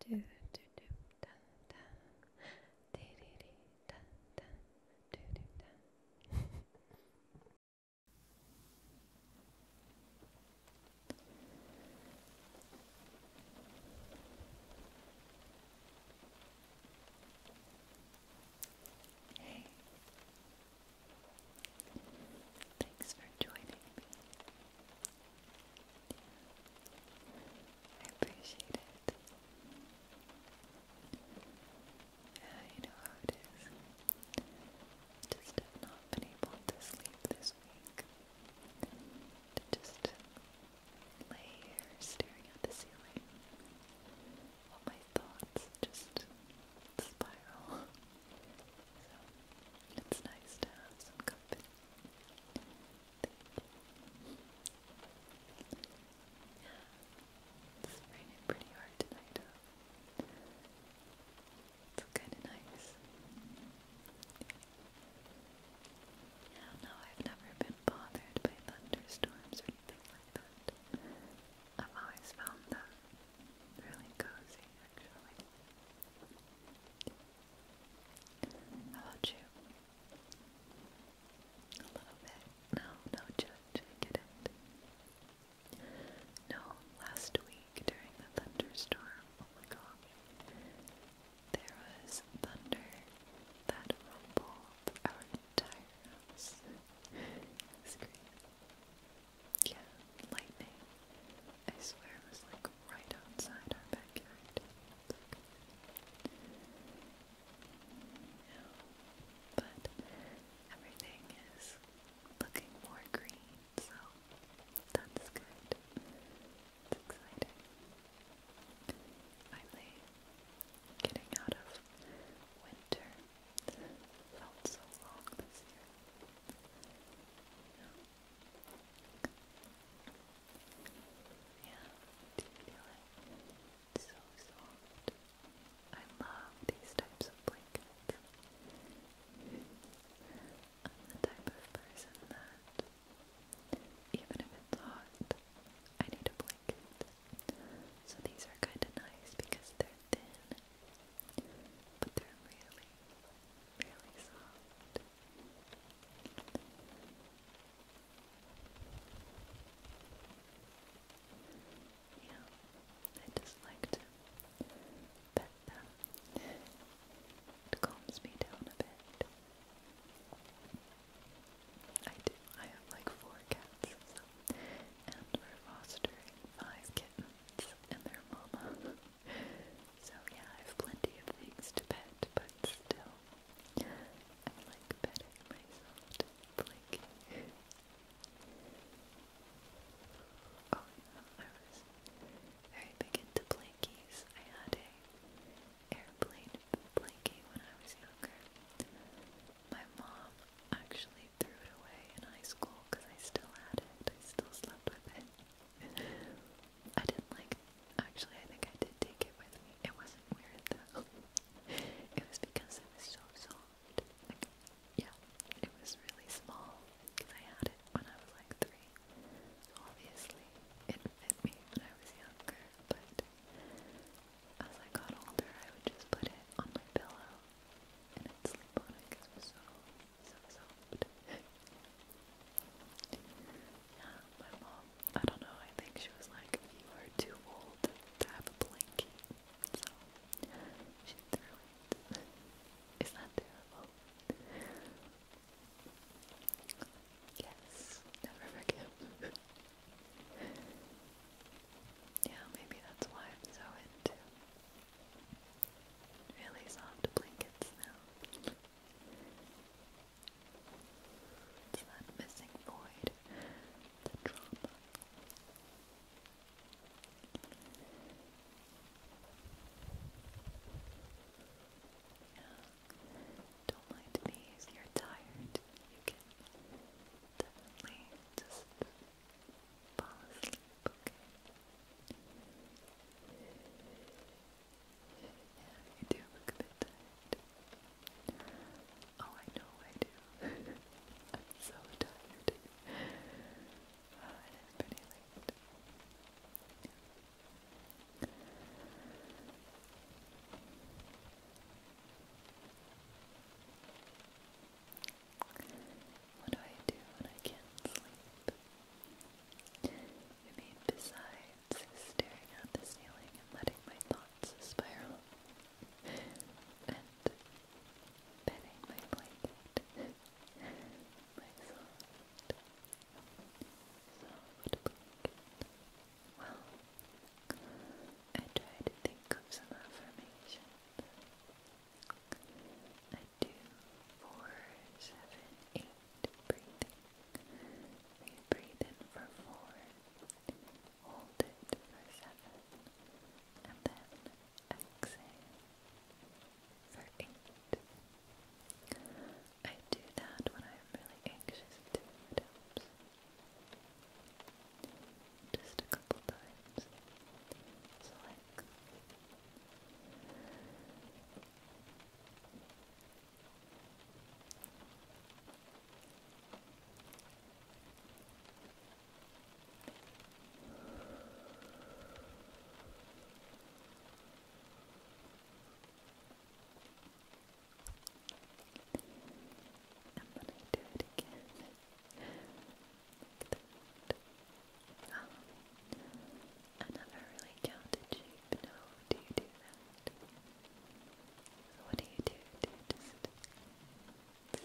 do do do da da dee dee dee da da do do da Hey Thanks for joining me. I appreciate it. Yeah, know it is. Just not been able to sleep this week. just lay here staring at the ceiling. All my thoughts just spiral. So it's nice to have some company. It's raining pretty hard tonight. It's kind of nice. I don't know, I've never been bothered by thunderstorms or anything like that. I've always found them really cozy, actually. How about you? A little bit. No, no judge. I get No, last week during the thunderstorm, oh my gosh, there was thunder that rumbled our entire house. It yeah, lightning. I swear it was like right outside our backyard. but everything is looking more green, so that's good. It's Finally, getting out of winter felt so long this year. Yeah, you so I love these types of blankets. I'm the type of person that, even if it's hot, I need a blanket. So these are kind of nice because they're thin, but they're really, really soft. Yeah, I just like to pet them. It calms me down a bit. I do. I have like four cats, so. and we're fostering five kittens and their mama so yeah, I have plenty of things to pet, but still, I like petting myself to oh yeah, I very big into blinkies. I had a airplane blankie when I was younger. My mom actually threw it away in high school because I still had it. I still slept with it. I didn't like actually I think I did take it with me. It wasn't weird though. it was because it was so soft. Like yeah, it was really small because I had it when I was like three. obviously it fit me when I was younger, but as I got older I would just put it on my pillow and i sleep on it because it was so so soft. yeah, my mom, I don't know, I think she was like, you are too old to have a blanket. So, she threw it. Is that terrible? Yes, never forgive. yeah, maybe that's why I'm so into Really soft blankets now. It's that missing void, the trauma. Yeah. Don't mind me if you're tired. You can definitely just fall asleep, okay? Yeah, you do look a bit tired. Oh, I know I do. I'm so tired. Oh, it is pretty late. What do I do when I can't sleep? I mean, besides staring at the ceiling and letting my thoughts spiral and petting my blanket, my soft, soft blanket. Well, I try to think of some affirmations I do four, seven, eight, breathing. breathe in for four, hold it for seven, and then exhale for eight. I do that when I'm really anxious just a couple times. So like and when I do it again, Oh, really counted sheep. No, do you do that? What do you do? Do you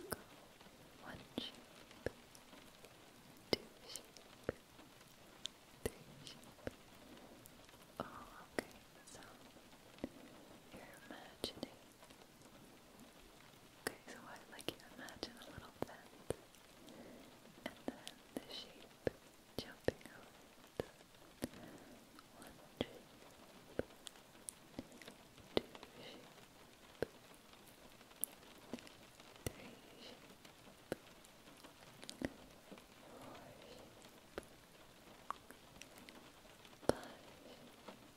just go one sheep, two sheep, three sheep? Oh, okay. So you're imagining Okay, so I like you imagine a little fence and then the sheep jumping over One sheep, two sheep, three sheep, four sheep, five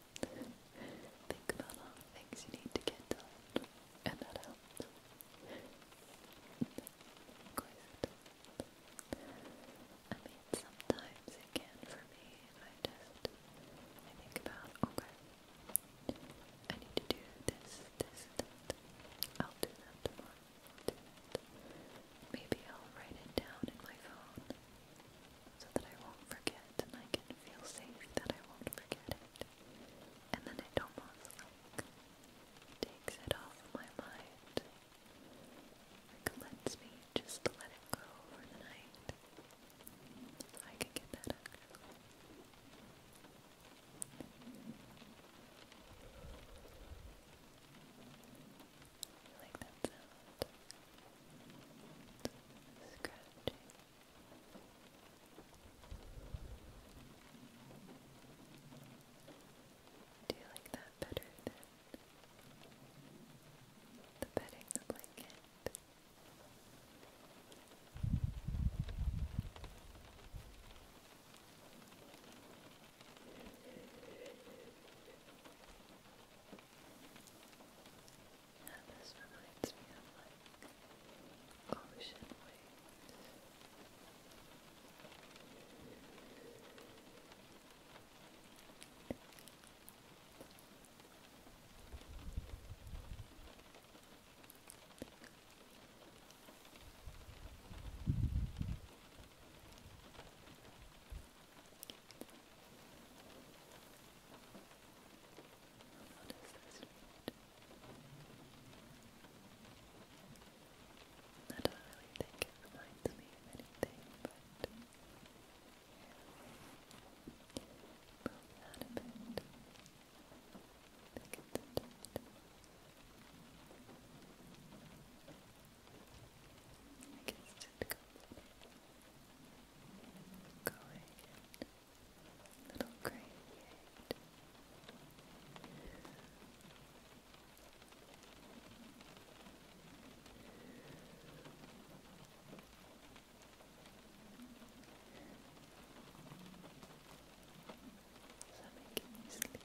Think about all the things you need to get done, and that helps. I mean, sometimes it can for me. I just I think about okay, I need to do this, this, that. I'll do that tomorrow. Maybe I'll write it down in my phone so that I won't forget and I can feel safe that I won't forget it. And then it almost like takes it off my mind. Like me just let it go for the night. I could get that actually. I like that sound. Scratching. Do you like that better than the bedding, the blanket? And this reminds me of like ocean waves. It's what does this mean? I don't really think it reminds me of anything, but move that a bit. Think it's a bit. I guess it comes. It Go ahead, little gray head. Is that making you sleepy? Sleep.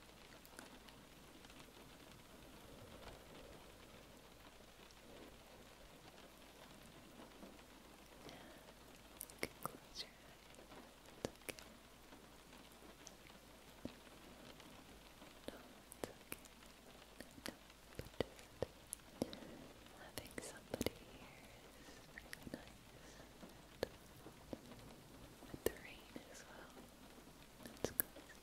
You close your eyes. Having somebody here is really nice. the rain as well. That's good.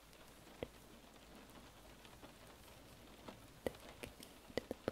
Thinking of a simpler time as a kitten.